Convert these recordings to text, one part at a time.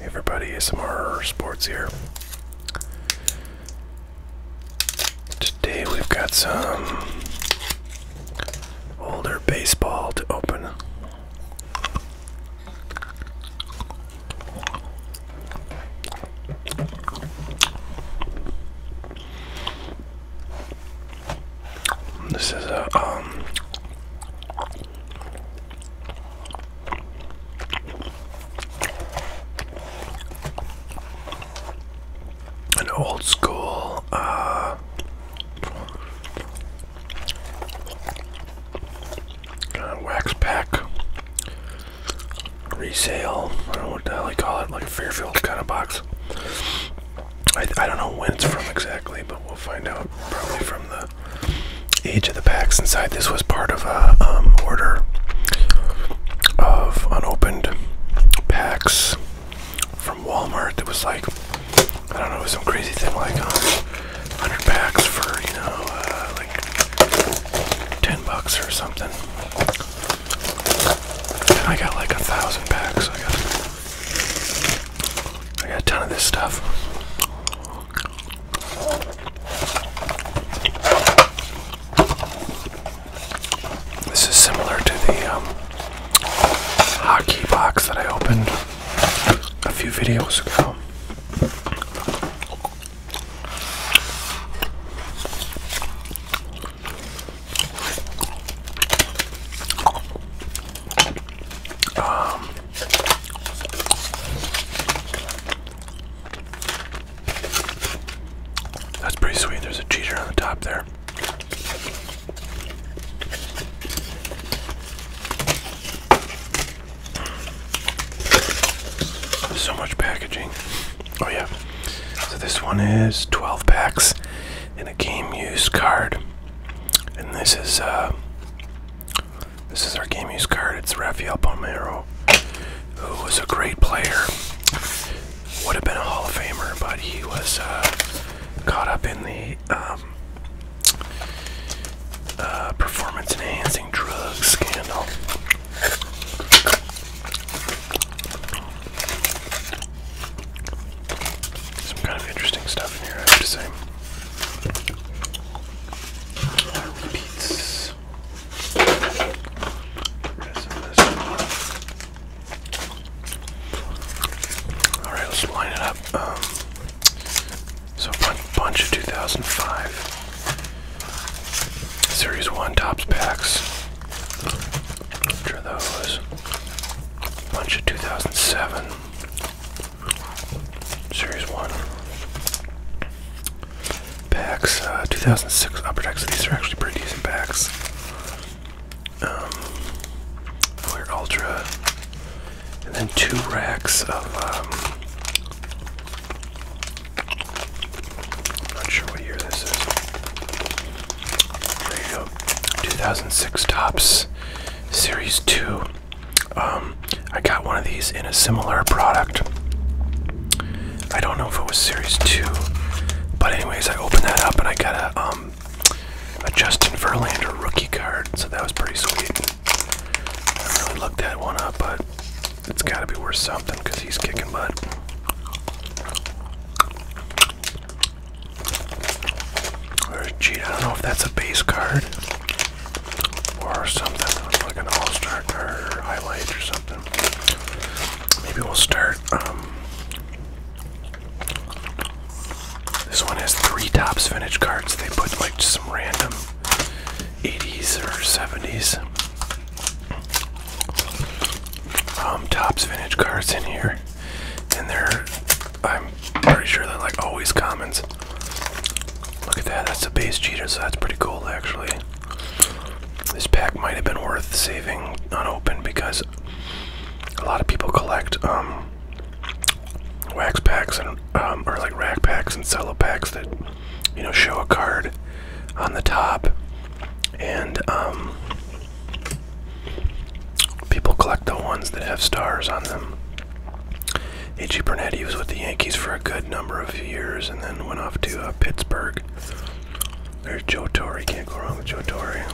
everybody, SMR Sports here. Today we've got some older baseball to open. This is a um, an old school uh, uh, wax pack resale. I don't know what the hell they call it, like a Fairfield kind of box. I, I don't know when it's from exactly, but we'll find out probably from the the uh, age of the packs inside. This was part of a um, order of unopened packs from Walmart. That was like I don't know, some crazy thing like 100 um, packs for you know uh, like 10 bucks or something. And I got like a thousand packs. I got I got a ton of this stuff. This is similar to the um, hockey box that I opened a few videos ago. Um, that's pretty sweet. There's a cheater on the top there. so much packaging. Oh, yeah. So this one is 12 packs and a game used card. And this is uh, this is our game use card. It's Rafael Palmeiro, who was a great player. Would have been a Hall of Famer, but he was uh, caught up in the um, uh, performance enhancing drug scandal. Some kind of interesting stuff in here, all right, let's line it up. Um, so bunch, bunch of 2005 Series One tops packs. Bunch of those. Bunch of 2007. Series 1. Packs, uh, 2006 upper decks. These are actually pretty decent packs. Um, Ultra. And then two racks of, I'm um, not sure what year this is. There you go. 2006 Tops Series 2. Um, I got one of these in a similar product. I don't know if it was Series 2, but anyways, I opened that up and I got a, um, a Justin Verlander rookie card, so that was pretty sweet. I haven't really looked that one up, but it's got to be worth something because he's kicking butt. Or a I don't know if that's a base card or something, like an all-star card or highlight or something. Maybe we'll start. Um, this one has three tops vintage cards. They put like some random 80s or 70s um, tops vintage cards in here, and they're I'm pretty sure they're like always commons. Look at that, that's a base cheetah, so that's pretty cool actually. This pack might have been worth saving unopened because a lot of people collect um, wax packs and um, or like rack packs and cello packs that you know show a card on the top, and um, people collect the ones that have stars on them. A.G. Burnett, he was with the Yankees for a good number of years and then went off to uh, Pittsburgh. There's Joe Torre, can't go wrong with Joe Torre.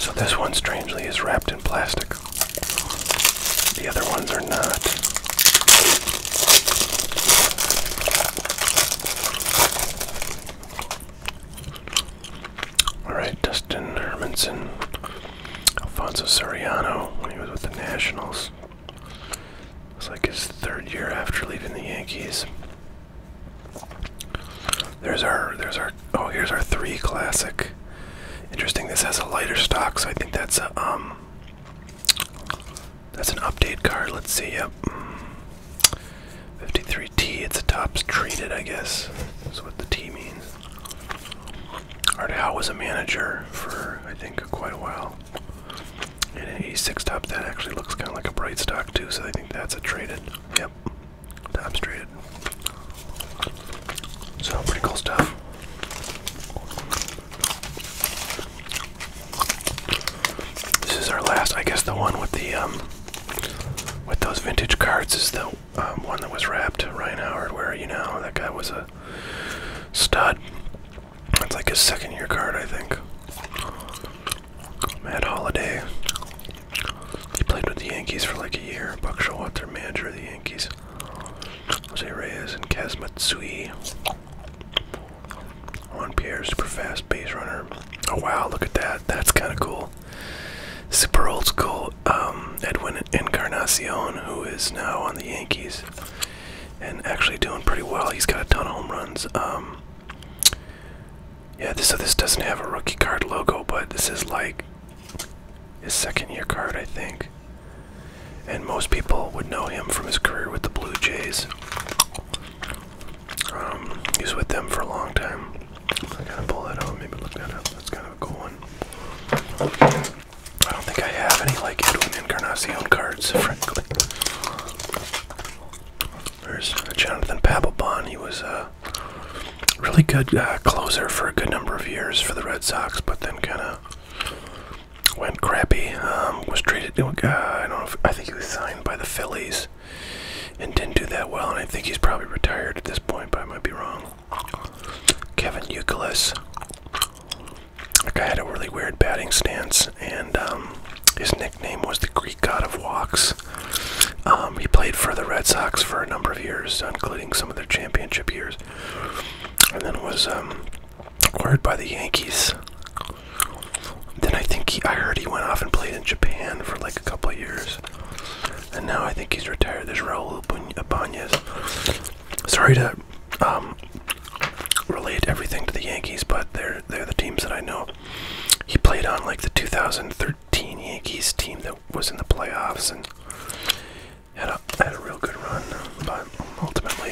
So this one, strangely, is wrapped in plastic. The other ones are not. Alright, Dustin Hermanson. Alfonso Soriano, when he was with the Nationals. It like his third year after leaving the Yankees. There's our, there's our, oh, here's our three classic. Interesting, this has a lighter stock, so I think that's a, um, that's an update card. Let's see, yep. 53T, it's a tops treated, I guess. That's what the T means. Art Howe was a manager for, I think, quite a while. And a six top that actually looks kind of like a bright stock too, so I think that's a traded. Yep, top's traded. So pretty cool stuff. This is our last, I guess, the one with the um, with those vintage cards is the um, one that was wrapped, Ryan Howard. Where are you now? That guy was a stud. That's like his second year card, I think. Matt Holiday. He played with the Yankees for like a year. Buck Showalter, manager of the Yankees. Jose Reyes and Kaz Matsui. Juan Pierre, super fast base runner. Oh wow, look at that. That's kind of cool. Super old school. Um, Edwin Encarnacion, who is now on the Yankees and actually doing pretty well. He's got a ton of home runs. Um, yeah, so this doesn't have a rookie card logo, but this is like his second year card, I think. And most people would know him from his career with the Blue Jays. Um, he's with them for a long time. I gotta pull that out, maybe look that up. That's kind of a cool one. I don't think I have any like Edwin Encarnacion cards, frankly. There's Jonathan Papelbon. He was a really good uh, closer for a good number of years for the Red Sox, but then kind of went crappy. Um, was traded. Uh, I don't know. I think he was signed by the Phillies and didn't do that well. And I think he's probably retired at this point, but I might be wrong. Kevin Youkilis. That guy had a really weird batting stance, and um, his nickname was the Greek God of Walks. Um, he played for the Red Sox for a number of years, including some of their championship years, and then was um, acquired by the Yankees. Then I think I heard he went off and played in Japan for like a couple of years and now I think he's retired. There's Raul Abanez. Sorry to um, relate everything to the Yankees, but they're they're the teams that I know. He played on like the 2013 Yankees team that was in the playoffs and had a had a real good run, but ultimately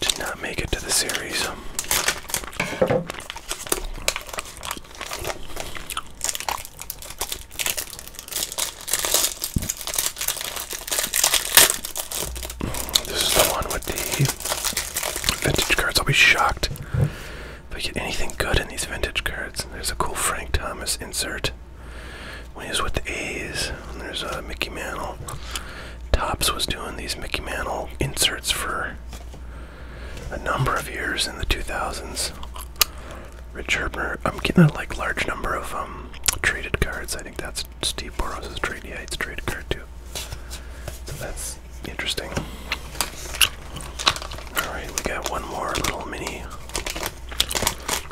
did not make it to the series. This is the one with the vintage cards. I'll be shocked if I get anything good in these vintage cards. There's a cool Frank Thomas insert when he was with the A's. there's a uh, Mickey Mantle. Tops was doing these Mickey Mantle inserts for a number of years in the 2000s. Rich Herbner. I'm getting a like large number of um, traded cards. I think that's Steve Boros's trade. Yeah, it's a trade card too. So that's interesting. Alright, we got one more little mini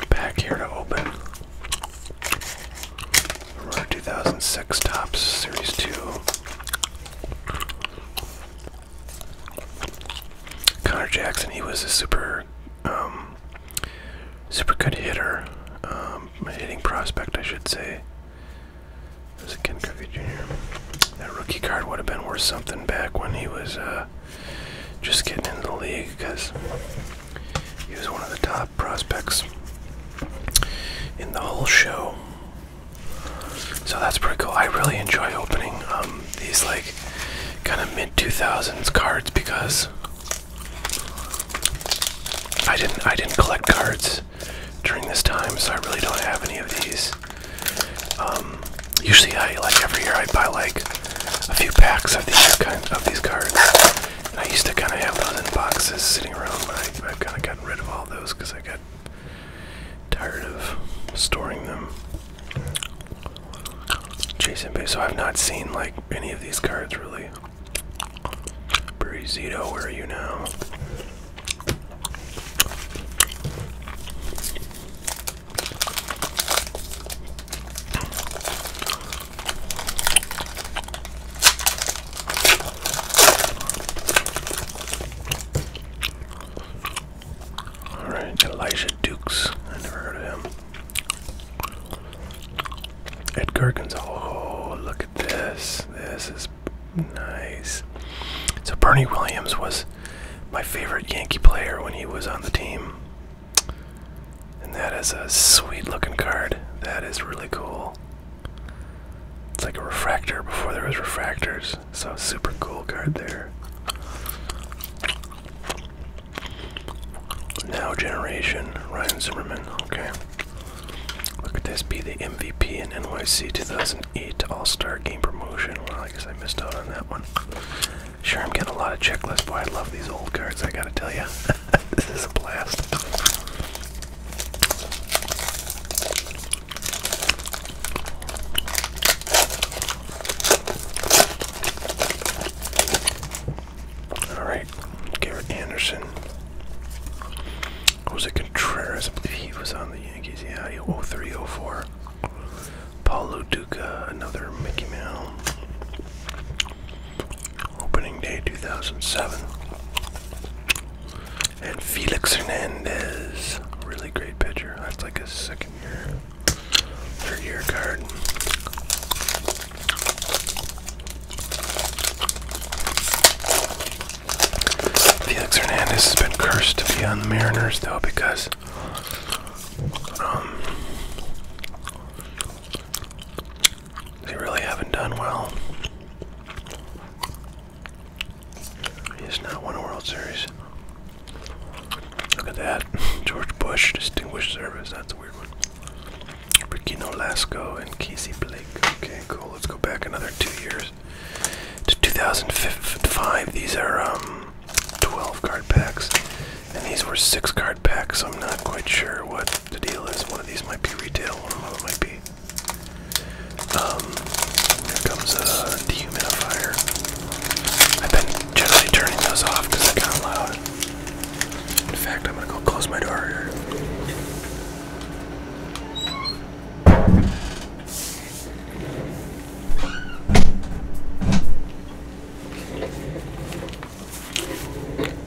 pack here to open. 2006 Tops Series 2. Connor Jackson, he was a super, um, super good hitter, um, hitting prospect, I should say. Was it Ken Cookie Jr.? That rookie card would have been worth something back when he was uh, just getting into the league because he was one of the top prospects in the whole show. So that's pretty cool. I really enjoy opening um, these like kind of mid 2000s cards because I didn't I didn't collect cards during this time, so I really don't have any of these. Um, usually, I like every year I buy like a few packs of these kind of these cards. I used to kind of have those in boxes sitting around, but I've kind of gotten rid of all those because I got tired of storing them. Jason Boo. So I've not seen like any of these cards really. Breezito, where are you now? Alright, Elijah Dukes. I never heard of him. Edgar Gonzalo. Oh, look at this. This is nice. So, Bernie Williams was my favorite Yankee player when he was on the team. And that is a sweet looking card. That is really cool. It's like a refractor before there was refractors. So super cool card there. Now generation, Ryan Zimmerman. Okay. Look at this, be the MVP in NYC 2008 All-Star Game Promotion. Well, I guess I missed out on that one. Sure, I'm getting a lot of checklists. Boy, I love these old cards, I gotta tell you. this is a blast. All right, Garrett Anderson. Jose Contreras, I believe he was on the Yankees. Yeah, 0304. Paulo Duca, another Mickey Mouse. Opening day 2007. And Felix Hernandez, really great pitcher. That's like his second year for your card. Felix Hernandez has been cursed to be on the Mariners though because um, they really haven't done well. He has not won a World Series. Look at that. George Bush, Distinguished Service. That's a weird one. Rickino Lasco and Casey Blake. Okay, cool. Let's go back another two years to 2005. These are um, 12 card packs, and these were 6 card packs. So I'm not quite sure what the deal is. One of these might be retail, one of them might be. Um, here comes a uh, dehumidifier. I've been generally turning those off because they're kind of loud. In fact, I'm gonna go close my door here.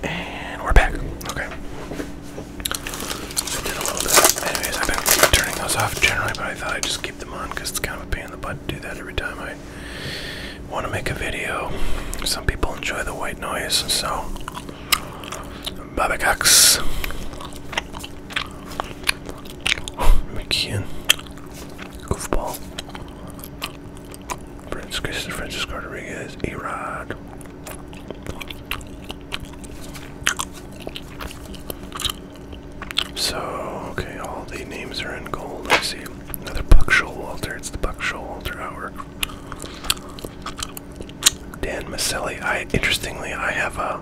And we're back. Okay. I did a little bit. Anyways, I've been turning those off generally, but I thought I'd just keep them on because it's kind of a pain in the butt to do that every time I want to make a video. Some people enjoy the white noise, so Babacox. McKeon. Goofball. Francis Francisco Rodriguez. Arod. So okay, all the names are in gold, I see. Another Buck Showalter. It's the Buck Showalter hour. Dan Maselli. I interestingly, I have a,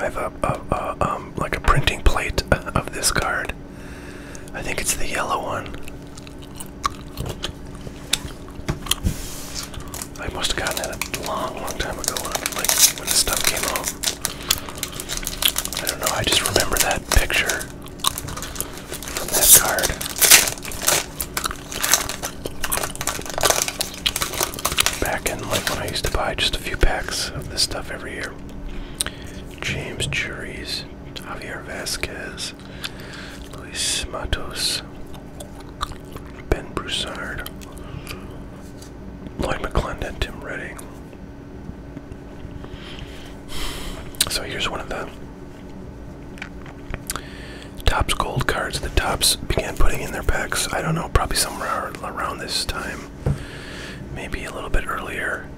I have a, a, um, like a printing plate of this card. I think it's the yellow one. I must have gotten it a long, long time ago, when, like when this stuff came out. I don't know, I just remember that picture from this card. Back in like when I used to buy just a few packs of this stuff every year. James Juries, Javier Vasquez, Luis Matos, Ben Broussard, Lloyd McClendon, Tim Redding, so here's one of the Tops gold cards the Tops began putting in their packs. I don't know, probably somewhere around this time, maybe a little bit earlier.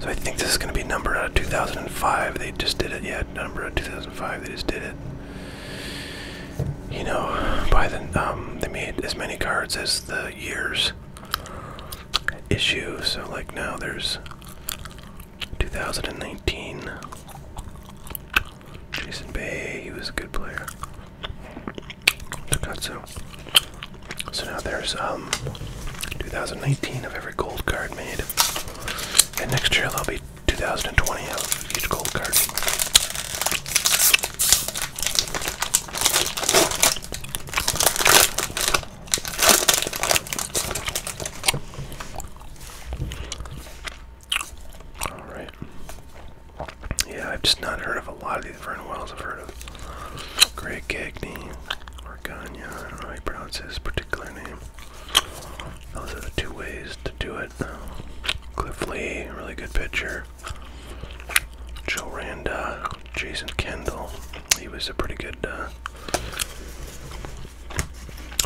So I think this is going to be numbered 2005. They just did it. yet. number 2005. They just did it. You know, by the um, they made as many cards as the years issue. So like now there's 2019. Jason Bay, he was a good player. Takatsu. So now there's um 2019 of every gold card made. And next year there'll be 2020 of each gold card. All right. Yeah, I've just not heard of a lot of these Vernon Wells. I've heard of Greg Cagney or Ganya. I don't know how he pronounces his particular name. Those are the two ways to do it. Cliff Lee, really good pitcher there. Joe Randa, Jason Kendall. He was a pretty good uh,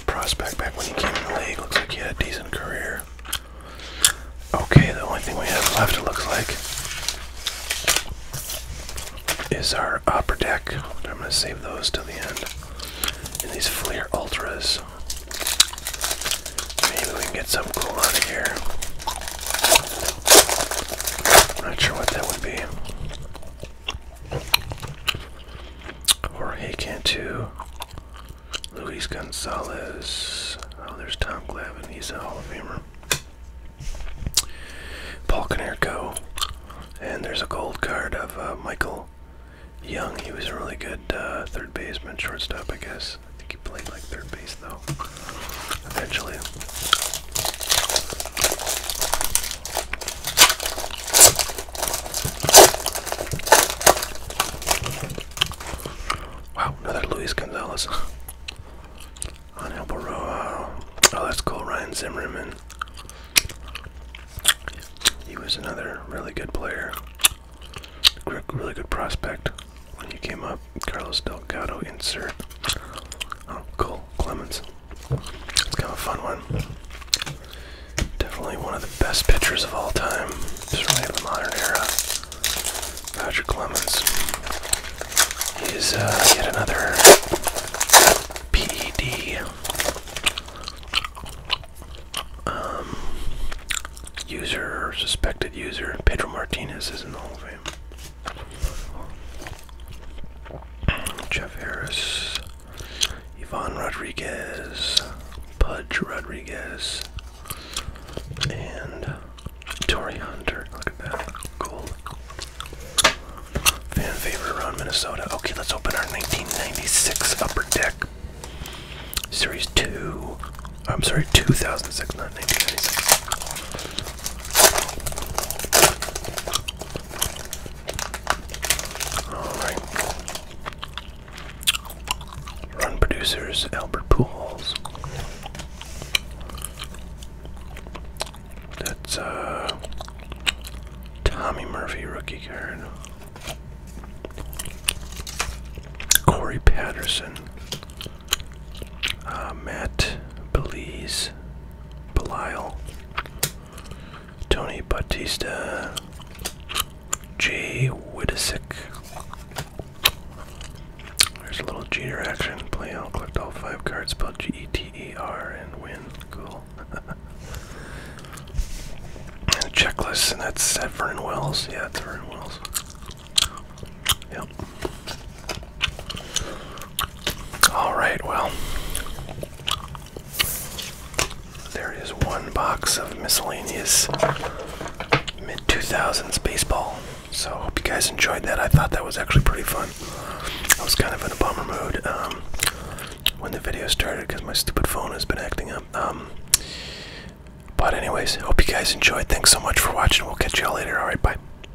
prospect back when he came in the league. Looks like he had a decent career. Okay, the only thing we have left, looks like, is our upper deck. I'm going to save those till the end. And these Fleer Ultras. Maybe we can get some cool out of here. Not sure what that would be. Or he can too. Luis Gonzalez. Oh, there's Tom Glavine. He's a Hall of Famer. Paul Canerco. And there's a gold card of uh, Michael Young. He was a really good uh, third baseman, shortstop, I guess. I think he played like third base, though eventually. Wow, another Luis Gonzalez on El Oh, that's cool. Ryan Zimmerman. He was another really good player, really good prospect when you came up, Carlos Delgado insert. Oh, cool, Clemens. It's kind of a fun one. Definitely one of the best pitchers of all time, certainly in the modern era. Roger Clemens. He is uh, yet another PED um, user, suspected user. Pedro Martinez is in the Hall of Fame. Jeff Harris, Yvonne Rodriguez, Pudge Rodriguez, and Tori Hunter. Look at that. Cool. Fan favorite around Minnesota. Okay, let's open our 1996 Upper Deck Series 2. I'm sorry, 2006, not 1996. Run producers Albert Pools. That's uh Tommy Murphy rookie card. Corey Patterson uh, Matt Belize, Belial, Tony Bautista, Jay Wittesick. There's a little Jeter action. Play out, collect all five cards, spell G E T E R, and win. Cool. and checklist, and that's at Vernon Wells. Yeah, it's Vernon Wells. Yep. All right, well, there is one box of miscellaneous mid 2000s baseball. So, hope you guys enjoyed that. I thought that was actually pretty fun. I was kind of in a bummer mood um, when the video started because my stupid phone has been acting up. Um, but, anyways, hope you guys enjoyed. Thanks so much for watching. We'll catch y'all later. All right, bye.